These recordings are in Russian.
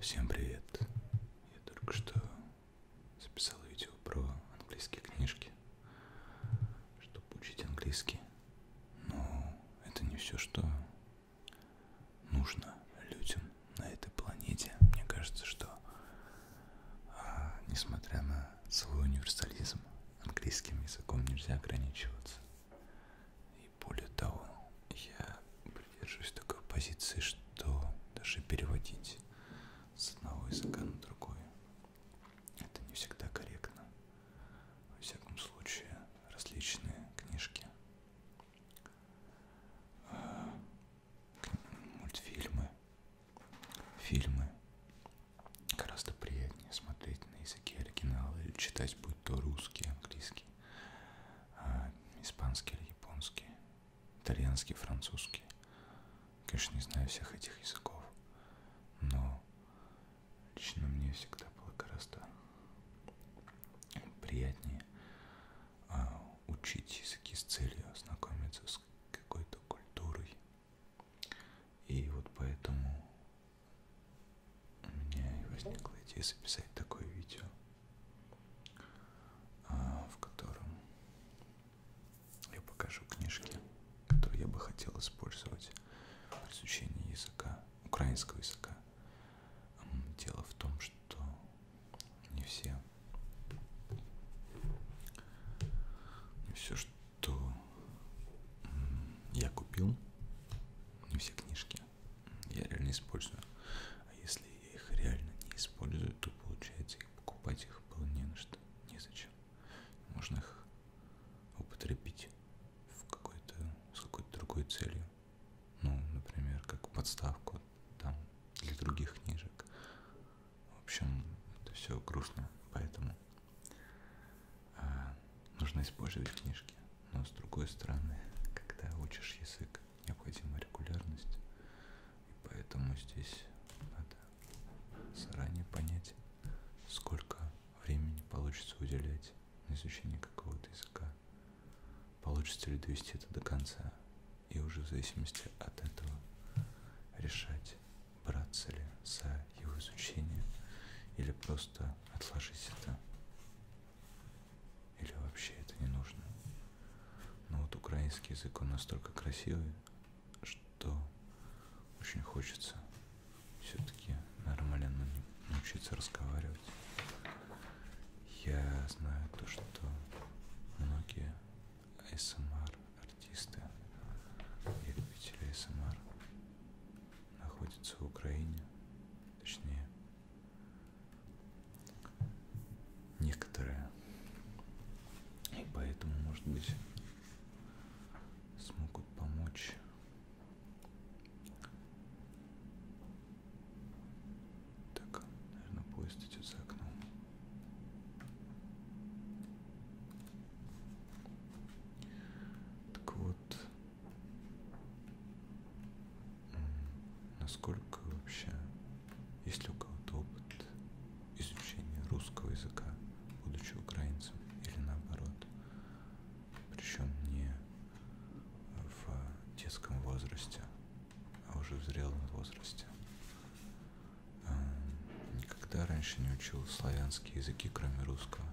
Всем привет! Я только что записал видео про английские книжки, чтобы учить английский. Но это не все, что нужно людям на этой планете. Мне кажется, что а, несмотря на свой универсализм. Английским языком нельзя ограничиваться. И более того, я придерживаюсь такой позиции, что даже переводить с одного языка на другой это не всегда корректно. Во всяком случае, различные книжки, э, мультфильмы фильмы гораздо приятнее смотреть на языке оригинала или читать, будь то русский, английский, а, испанский или японский, итальянский, французский. Конечно, не знаю всех этих языков, но лично мне всегда было гораздо приятнее а, учить языки с целью ознакомиться с какой-то культурой, и вот поэтому у меня и возникла идея записать такое видео, а, в котором я покажу книжки, которые я бы хотел использовать при изучении языка, украинского языка. Дело в том, что не все все, что я купил, не все книжки я реально использую. А если я их реально не использую, то получается их покупать их было не на что, незачем. Можно их употребить в какой-то, с какой-то другой целью. Ну, например, как подставку там для других книжек, в общем, это все грустно, поэтому а, нужно использовать книжки. Но с другой стороны, когда учишь язык, необходима регулярность, и поэтому здесь надо заранее понять, сколько времени получится уделять на изучение какого-то языка, получится ли довести это до конца, и уже в зависимости от этого решать, браться ли за его изучение или просто отложить это, или вообще это не нужно. Но вот украинский язык, он настолько красивый, что очень хочется все-таки нормально научиться разговаривать. Я знаю то, что многие АСМР артисты и любители АСМР находятся в Украине, точнее некоторые. И поэтому, может быть, смогут помочь так, наверное, поезд идет за окном. Так вот, насколько вообще, есть ли у кого-то опыт изучения русского языка, будучи украинцем, или наоборот, причем не в детском возрасте, а уже в зрелом возрасте. Эм, никогда раньше не учил славянские языки, кроме русского.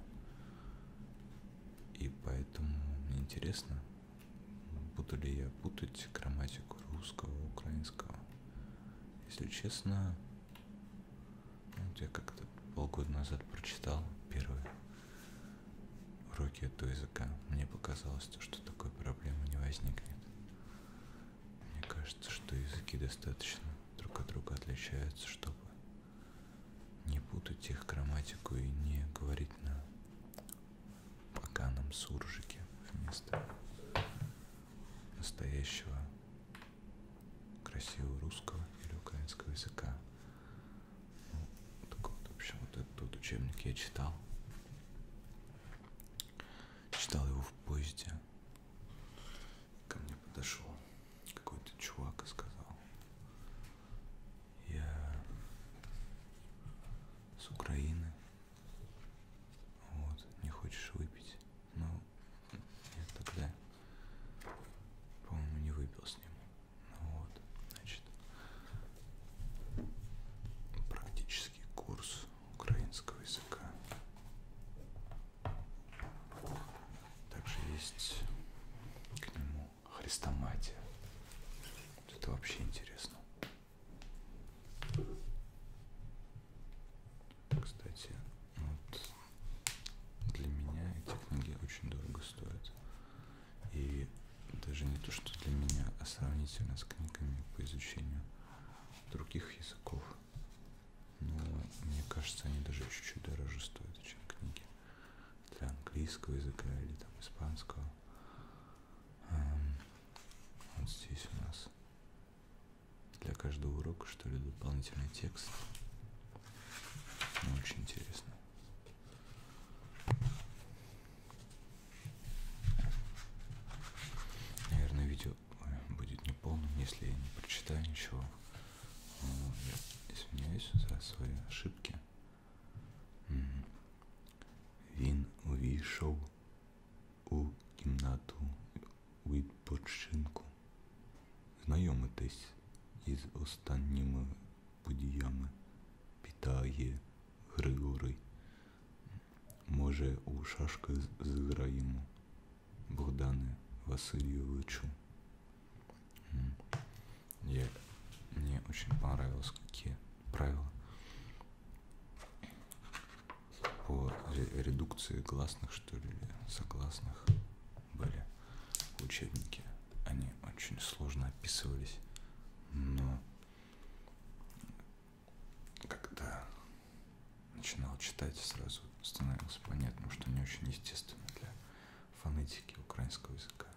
И поэтому мне интересно, буду ли я путать грамматику русского, украинского. Если честно, ну, вот я как-то полгода назад прочитал первый уроки этого языка. Мне показалось, что такой проблемы не возникнет. Мне кажется, что языки достаточно друг от друга отличаются, чтобы не путать их грамматику и не говорить на поганом суржике вместо настоящего красивого русского или украинского языка. Так вот, в общем, вот этот вот учебник я читал. Читал его в поезде. Ко мне подошел какой-то чувак и сказал, я с Украины. Вот, не хочешь выпить? Ну, я тогда, по-моему, не выпил с ним. Вот, значит, практический курс украинского языка. Также есть к нему хрестоматия. Вот это вообще интересно. Кстати, вот для меня эти книги очень дорого стоят. И даже не то, что для меня, а сравнительно с книгами по изучению других языков. Но мне кажется, они даже чуть-чуть дороже стоят, чем книги для английского языка или там испанского. Эм, вот здесь у нас для каждого урока, что ли, дополнительный текст. Ну, очень интересно. Наверное, видео э, будет неполным, если я не прочитаю ничего. Ну, извиняюсь за свои ошибки. Він увійшов у кімнату відпочинку. Знайомитись із останніми подіями, питає Григорий. Може, у шашки зіграємо Богдане Васильевичу. Я, мне очень понравилось, какие правила по редукции гласных, что ли, согласных были в учебнике. Они очень сложно описывались, но когда начинал читать, сразу становилось понятно, что не очень естественно для фонетики украинского языка.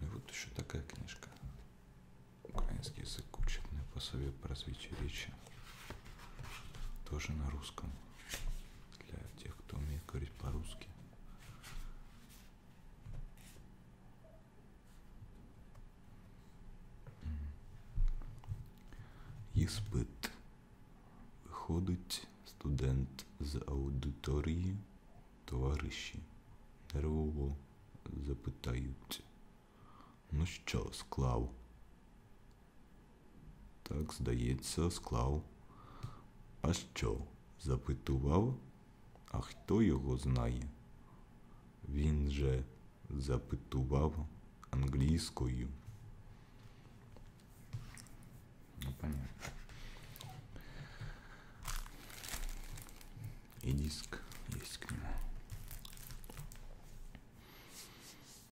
Ну и вот еще такая книжка. Украинский язык, учебное пособие по развитию речи. Тоже на русском. для тех, кто умеет говорить по-русски. Іспит. Виходить студент з аудиторії, товариші. Нервово запитають. Ну що, склав? Так, здається, склав. А що? запитував? А хто його знає? Він же запитував англійською. Ну, понятно. И диск есть к нему.